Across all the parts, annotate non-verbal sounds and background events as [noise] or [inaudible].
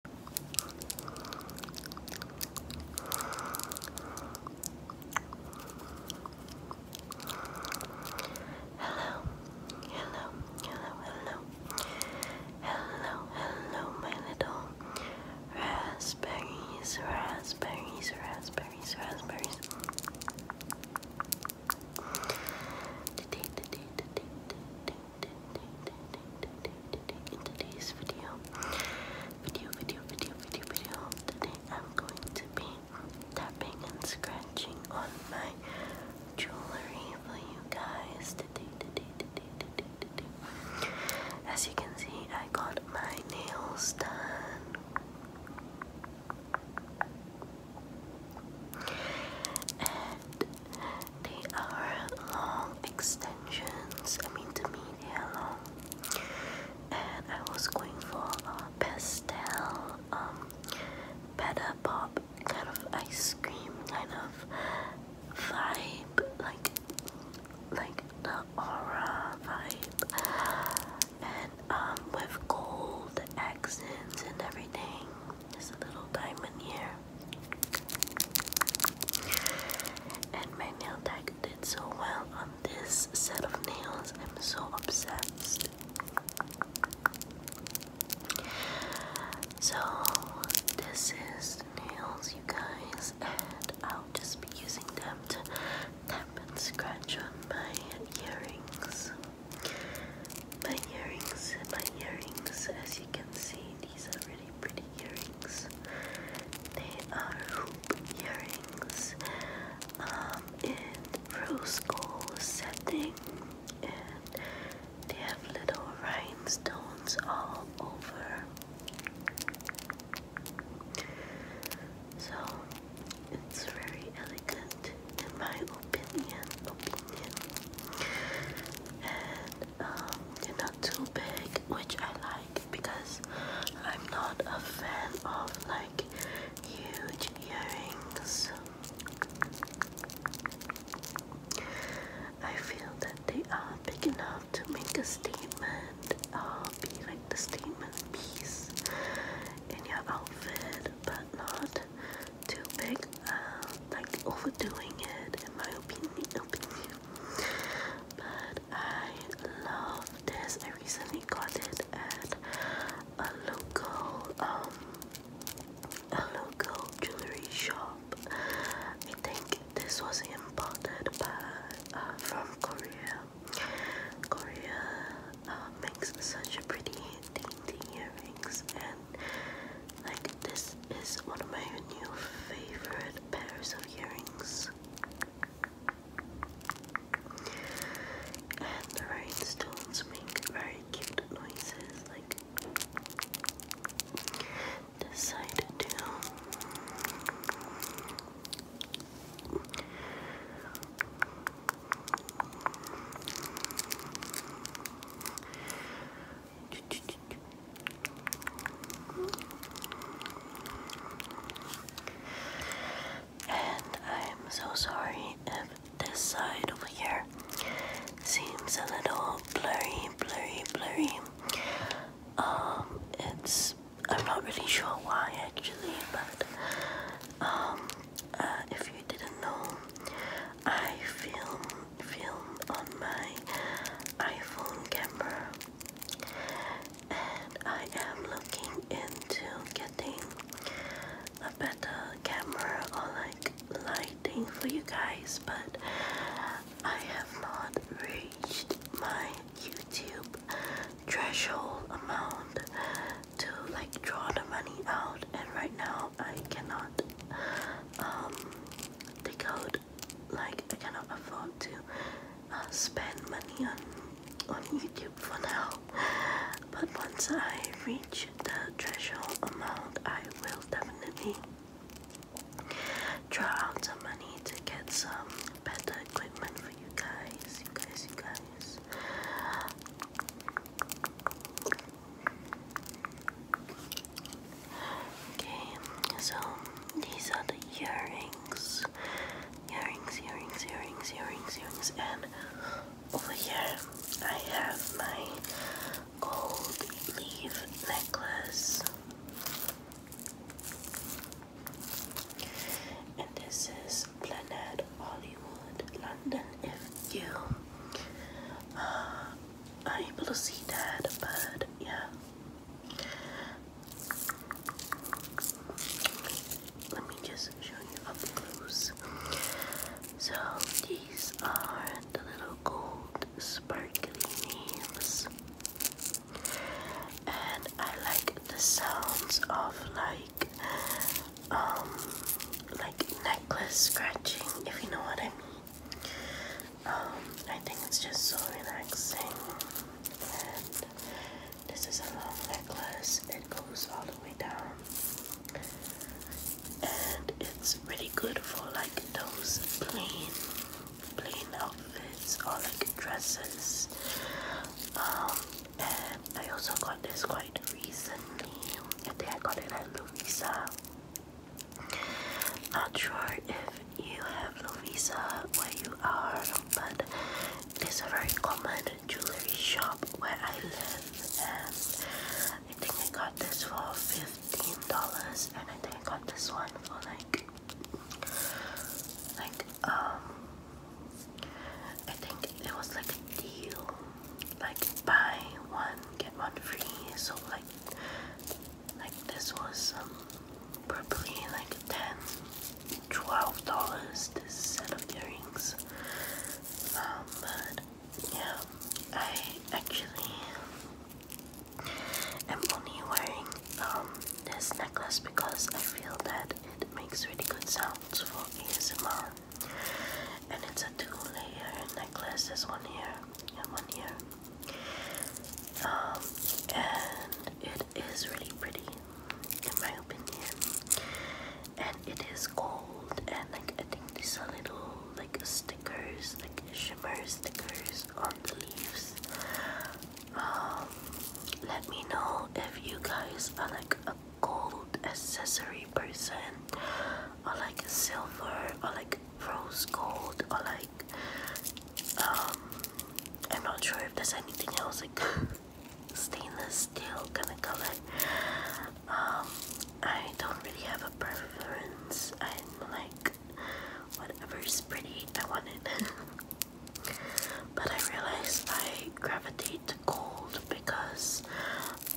Hello, hello, hello, hello, hello, hello, my little raspberries, raspberries, raspberries, raspberries. Today, today, today, today, in today's video, video, video, video, video, today I'm going to be tapping and scratching on my jewelry for you guys As you can see, I got my nails done. They are long extensions. I mean, to me, they are long. And I was going for a pastel, um, better pop kind of ice cream kind of vibe, like like the aura vibe, and um, with gold accents and everything. There's a little diamond here. And my nail tech did so well on this set of nails. I'm so obsessed. So, this is nails, you guys, and I'll just be using them to tap and scratch on my earrings my earrings, my earrings, as you can see, these are really pretty earrings. They are hoop earrings um, in rose gold setting, and they have little rhinestones all over. So it's very elegant in my opinion, opinion. And um, they're not too big, which I like because I'm not a fan of like huge earrings. I feel that they are big enough to make a statement, uh, be like the statement piece in your outfit, but not too big, uh, like overdoing it in my opinion. But I love this. I recently got it at a local, um, a local jewelry shop. I think this was imported by uh, from Korea. Korea, uh, makes such a pretty dainty earrings and like this is one of my new favorite pairs of earrings and the rainstones make very cute noises like this side too and I'm so sorry if this side over here seems a little blurry, blurry, blurry. Um, it's I'm not really sure why actually, but um uh, if you didn't know, I film film on my iPhone camera, and I am looking into getting a better camera or like lighting for you guys, but I have not reached my YouTube threshold amount to like draw the money out and right now I cannot um take out like I cannot afford to uh, spend money on on YouTube for now but once I reach the threshold amount I will definitely draw out some money to get some better equipment for you guys you guys you guys Okay, so these are the earrings. Earrings, earrings, earrings, earrings, earrings, and over here I have my gold leaf necklace. And this is Planet Hollywood, London. If you uh, are able to see that, but yeah. Let me just show you up close. So these are the little gold sparkly names and I like the sounds of like um like necklace scratching if you know what I mean. Um I think it's just so relaxing and this is a long necklace. It goes all the way down. And it's pretty good for like those plain plain outfits or like dresses. Um, and I also got this quite recently. I think I got it at Lovisa. Not sure if you have Lovisa where you are, but it's a very common jewelry shop where I live, and I think I got this for fifteen dollars, and I think I got this one for like like, um, I think it was like a deal, like buy one get one free. So like, like this was um, probably like ten, twelve dollars. This set of earrings. Um, but yeah, I actually I'm only wearing um, this necklace because I feel that it makes really good sounds for ASMR. And it's a two layer necklace, there's one here and one here. Um, and it is really pretty, in my opinion. And it is gold, and like I think these are little like stickers, like shimmer stickers on the leaves um, let me know if you guys are like a gold accessory person or like a silver or like rose gold or like um I'm not sure if there's anything else like [laughs] stainless steel kind of color um I don't really have a preference I'm like Whatever is pretty, I want it. [laughs] but I realize I gravitate to gold because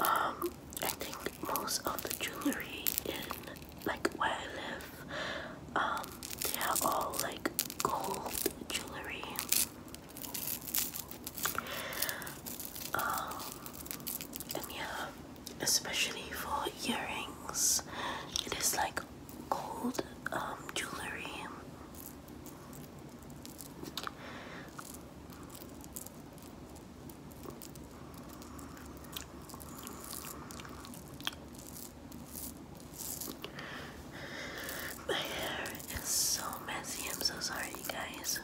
um, I think most of the jewelry in like where I live, um, they are all like gold jewelry. Um, yeah, especially for earrings. It is like gold um, jewelry. My hair is so messy. I'm so sorry, you guys.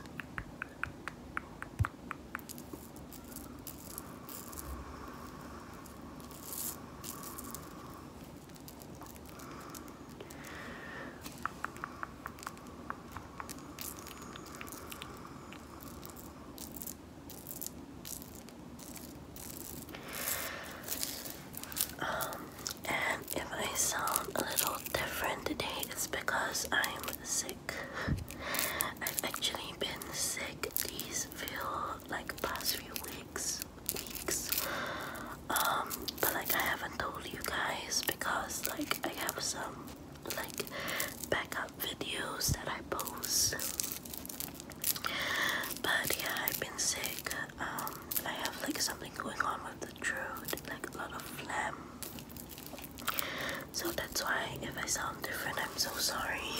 Um, and if I sound a little different today, it's because I'm sick. I've actually been sick these few like past few weeks, weeks. Um, but like I haven't told you guys because like I have some like backup videos that I post. But yeah, I've been sick. Um, I have like something going on with the throat, like a lot of phlegm. So that's why if I sound different, I'm so sorry.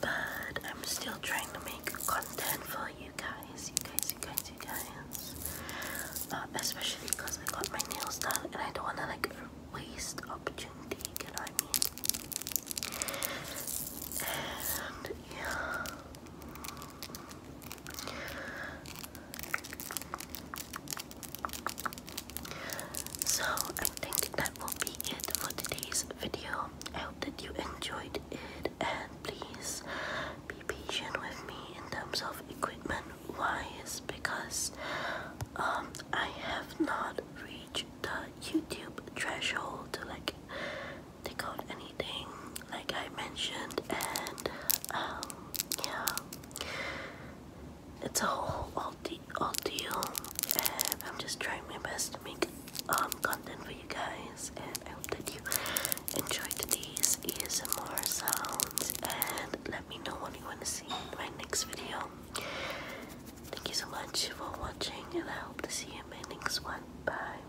But I'm still trying to make content for you guys, you guys, you guys, you guys. Um, especially because I got my nails done and I don't want to like waste opportunity, And yeah. So I think that will be it for today's video. I hope that you enjoyed it and please be patient with me in terms of equipment Why wise because um, I have not reached the YouTube threshold to like take out anything like I mentioned and um, yeah it's a whole deal, and I'm just trying my best to make um, content for you guys. And I hope that you enjoyed these ASMR sounds. And let me know what you want to see in my next video. Thank you so much for watching, and I hope to see you in my next one. Bye.